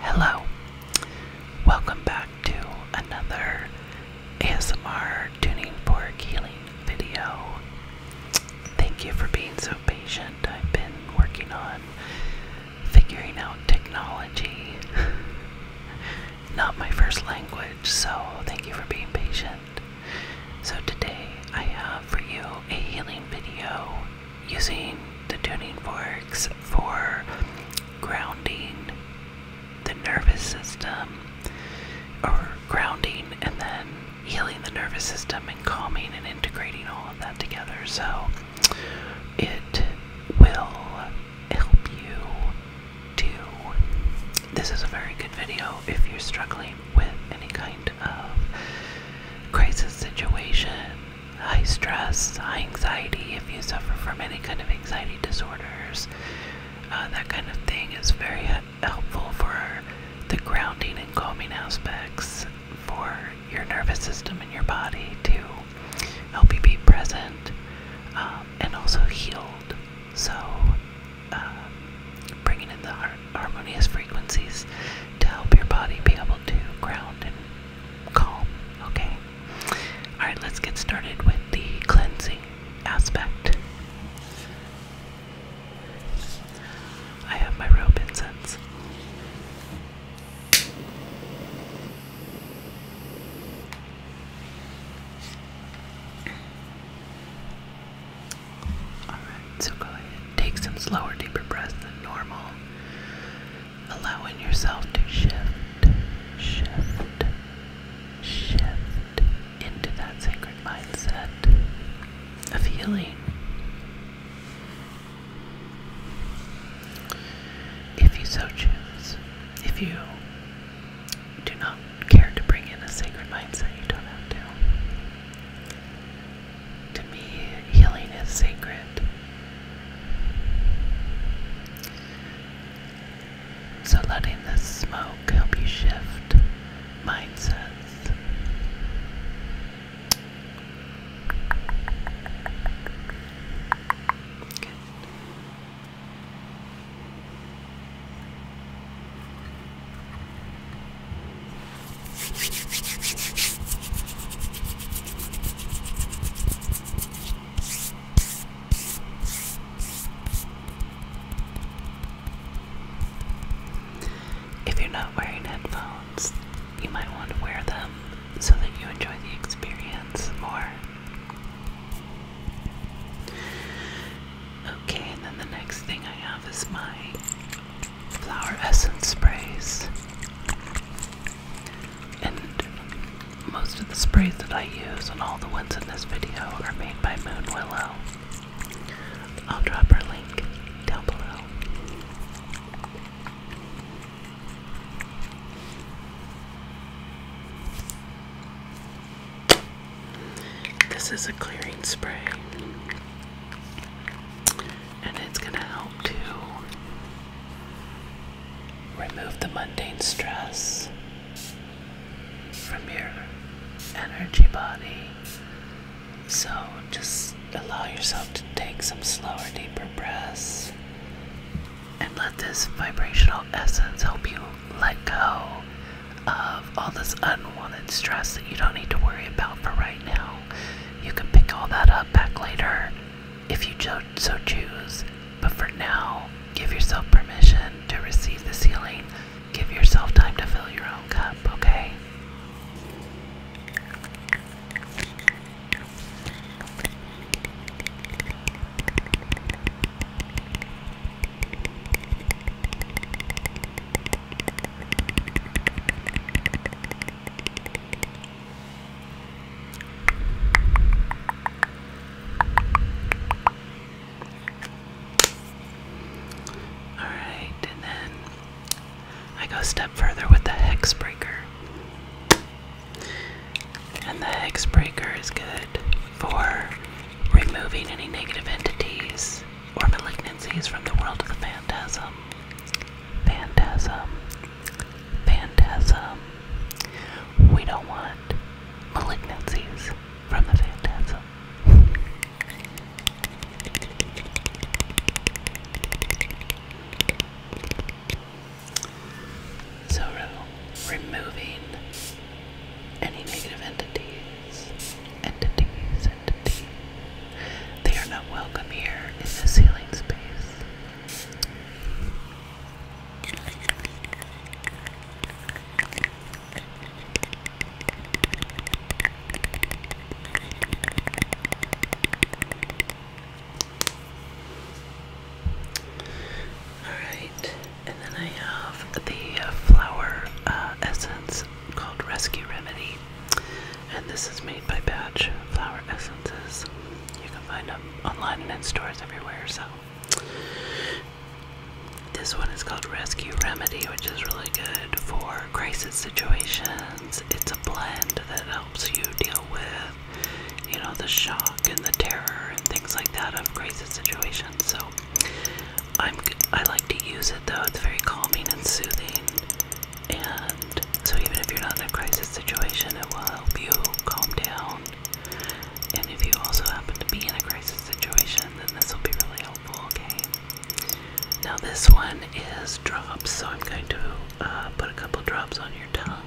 Hello. Welcome back to another ASMR tuning for healing video. Thank you for being so patient. I've been working on figuring out technology. Not my first language, so thank you for being patient. So today I have for you a healing video using the tuning forks for grounding the nervous system or grounding and then healing the nervous system and calming and integrating all of that together so it will help you to this is a very good video if you're struggling with any kind of crisis situation high stress, high anxiety, if you suffer from any kind of anxiety disorders, uh, that kind of thing is very helpful for the grounding and calming aspects for your nervous system and your body to help you be present um, and also healed. So, uh, bringing in the harmonious frequencies to help your body be able to ground and calm, okay? Alright, let's get started with the cleansing aspect. I have my rope incense. Alright, so go ahead. Take some slower, deeper breaths than normal allowing yourself to shift, shift, shift into that sacred mindset of healing. If you so choose, if you do not care to bring in a sacred mindset, you don't have to. To me, healing is sacred. So, letting this smoke help you shift mindsets. If you're not wearing headphones, you might want to wear them so that you enjoy the experience more. Okay, and then the next thing I have is my flower essence sprays. And most of the sprays that I use and all the ones in this video are made by Moon Willow. I'll drop her link down below. This is a clearing spray and it's going to help to remove the mundane stress from your energy body. So just allow yourself to take some slower, deeper breaths and let this vibrational essence help you let go of all this unwanted stress that you don't need to worry about for right now. You can pick all that up back later if you so choose, but for now, give yourself permission to receive the ceiling. Give yourself time to fill your own cup, okay? Alright, and then I go a step further with the hex breaker. And the hex breaker is good for removing any negative entities or malignancies from the world of the phantasm. Phantasm. Phantasm. We don't want malignancies from the Phantasm. So, removing any negative entities, entities, entities they are not welcome here in this healing space. Alright, and then I have the flower uh, essence called Rescue Remedy. And this is made by Batch Flower Essences. You can find them online and in stores everywhere. So this one is called Rescue Remedy, which is really good for crisis situations. It's a blend that helps you deal with, you know, the shock and the terror and things like that of crisis situations. So I'm I like to use it though. It's very calming and soothing. And so, even if you're not in a crisis situation, it will help you calm down. And if you also happen to be in a crisis situation, then this will be really helpful, okay? Now, this one is drops, so I'm going to uh, put a couple drops on your tongue.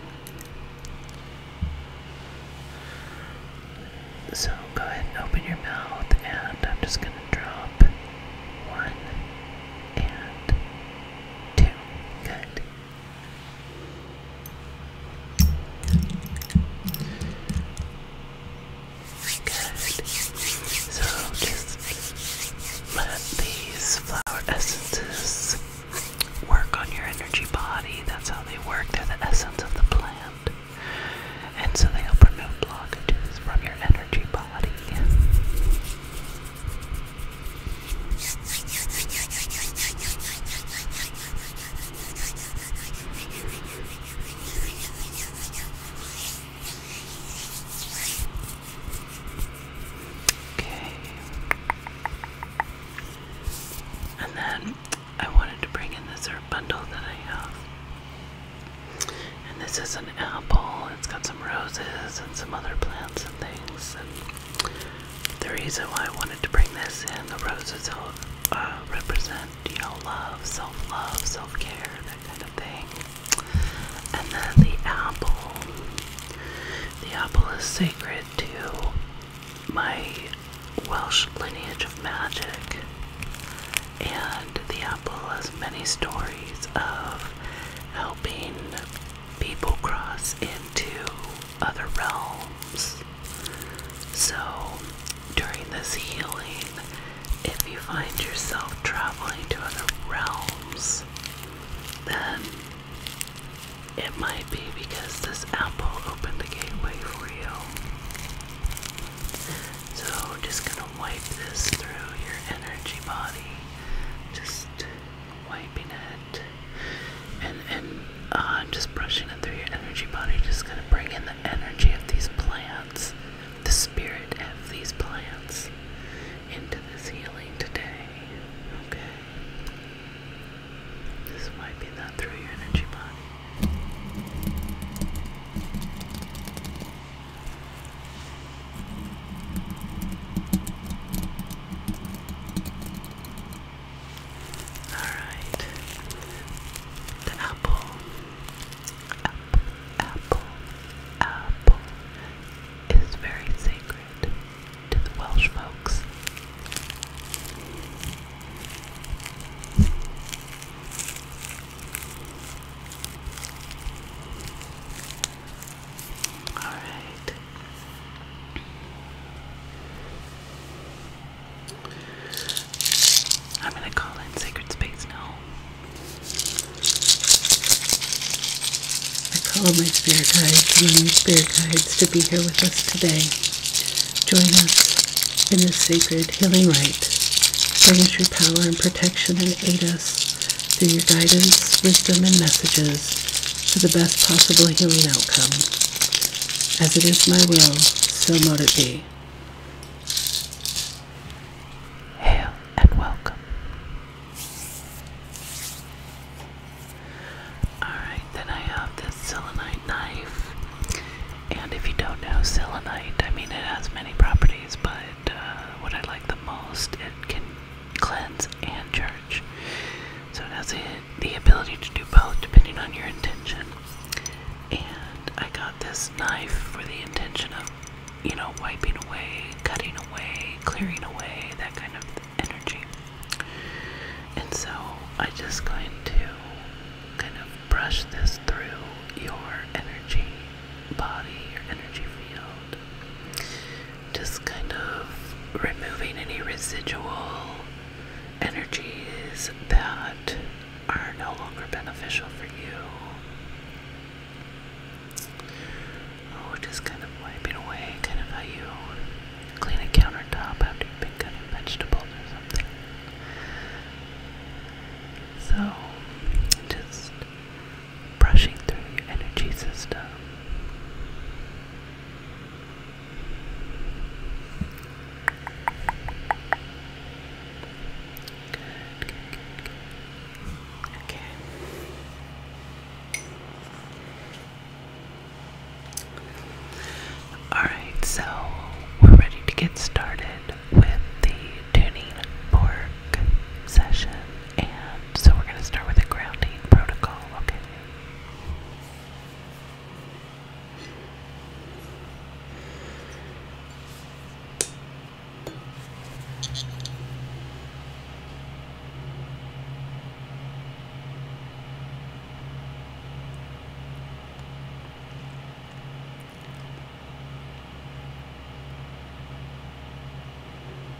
So, go ahead and open your mouth, and I'm just going to drop one and good. Good. So just let these flower essences work on your energy body. That's how they work. They're the essence of the plant. And so they'll remove blockages from your energy body. Okay. And then I wanted to bring in this herb bundle that I have. And this is an apple. It's got some roses and some other plants and things. And the reason why I wanted to bring this in, the roses uh, represent, you know, love, self-love, self-care, that kind of thing. And then the apple. The apple is sacred to my Welsh lineage of magic. And the apple has many stories of how helping people cross into other realms. So, during this healing, if you find yourself traveling to other realms, then it might be because this apple opened the gateway for you. So, just gonna wipe this through your energy body. Just wiping it and and uh, just brushing it through your energy body just gonna bring in the energy of these plants the spirit of these plants into this healing today okay just wiping that through your energy body Alright. The apple. Apple, apple, apple is very sacred to the Welsh folks. All right. I'm going to call in Sacred Space now. I call my spirit guides my spirit guides to be here with us today. Join us in this sacred healing rite. Bring us your power and protection and aid us through your guidance, wisdom, and messages to the best possible healing outcome. As it is my will, so mote it be. Hail and welcome. Alright, then I have this selenite knife. And if you don't know selenite, I mean it has many properties, but uh, what I like the most, it can cleanse, and charge. So it has the ability to do both depending on your intention. And I got this knife for the intention of, you know, wiping away, cutting away, clearing away, that kind of energy. And so I am just going to kind of brush this through your energy body, your energy field. Just kind of removing any residual energies that are no longer beneficial for you. Oh, just kind of wiping away, kind of how you clean a countertop after you've been cutting vegetables or something. So, just brushing through your energy system. Okay. Alright, so we're ready to get started with the tuning fork session and so we're going to start with a grounding protocol, okay?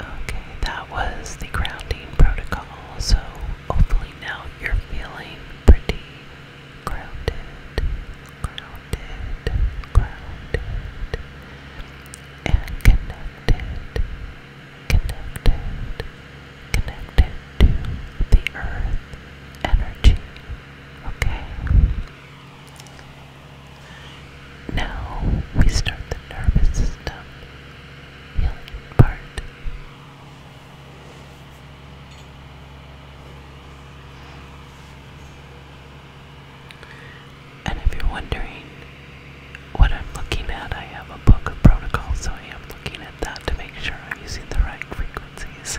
Okay, that was the grounding protocol, so hopefully now you're feeling pretty grounded, grounded, grounded, and connected connected, connected to the earth energy. Okay? Now we start the nervous system healing part. And if you're wondering what I'm looking at, I have a book of protocols, so I am looking at that to make sure I'm using the right frequencies.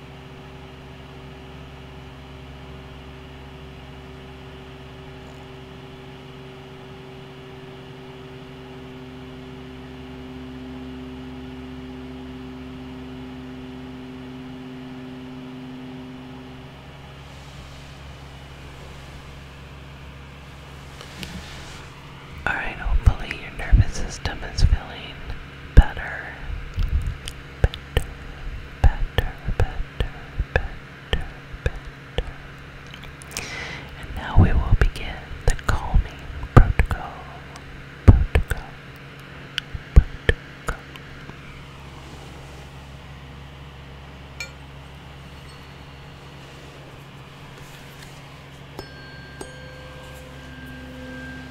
Alright, hopefully your nervous system is feeling better, better, better, better, better, better. And now we will begin the calming protocol, protocol, protocol.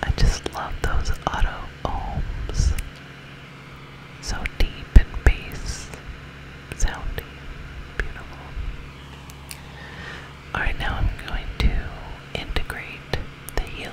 I just love those auto ohms. So deep and bass sounding. Beautiful. Alright, now I'm going to integrate the healing.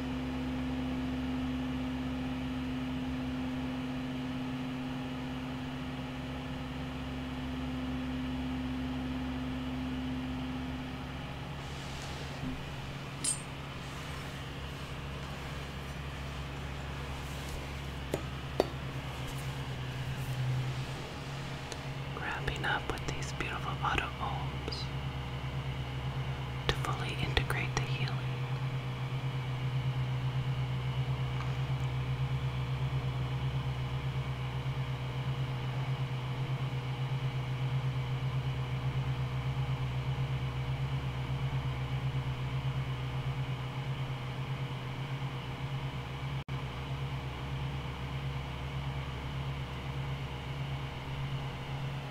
Wrapping up with these beautiful auto to fully integrate the healing.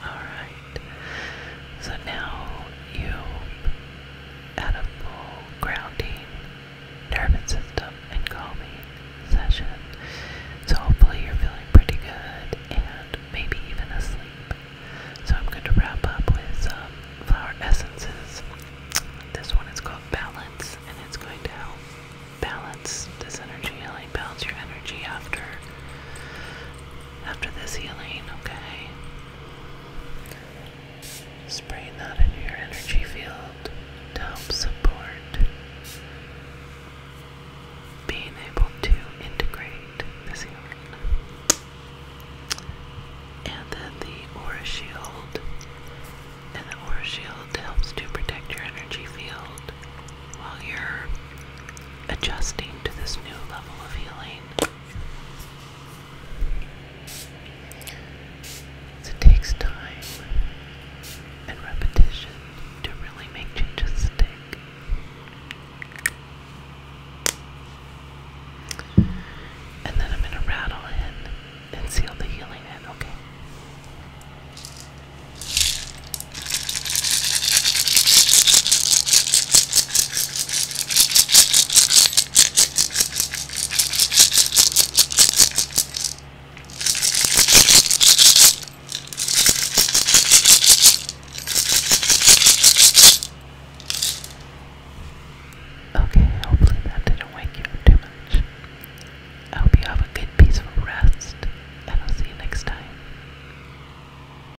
Alright. So now you had a full grounding nervous system and calming session. So hopefully you're feeling pretty good and maybe even asleep. So I'm going to wrap up with flower essences. This one is called Balance and it's going to help balance this energy, like balance your energy after after this healing, okay? Spraying that into your energy field to help support being able to integrate this healing. And then the aura shield. And the aura shield helps to protect your energy field while you're adjusting to this new level of healing. It takes time and repetition to really make changes stick. And then I'm going to rattle in and seal the healing in, okay? Okay, hopefully that didn't wake you up too much. I hope you have a good, peaceful rest, and I'll see you next time.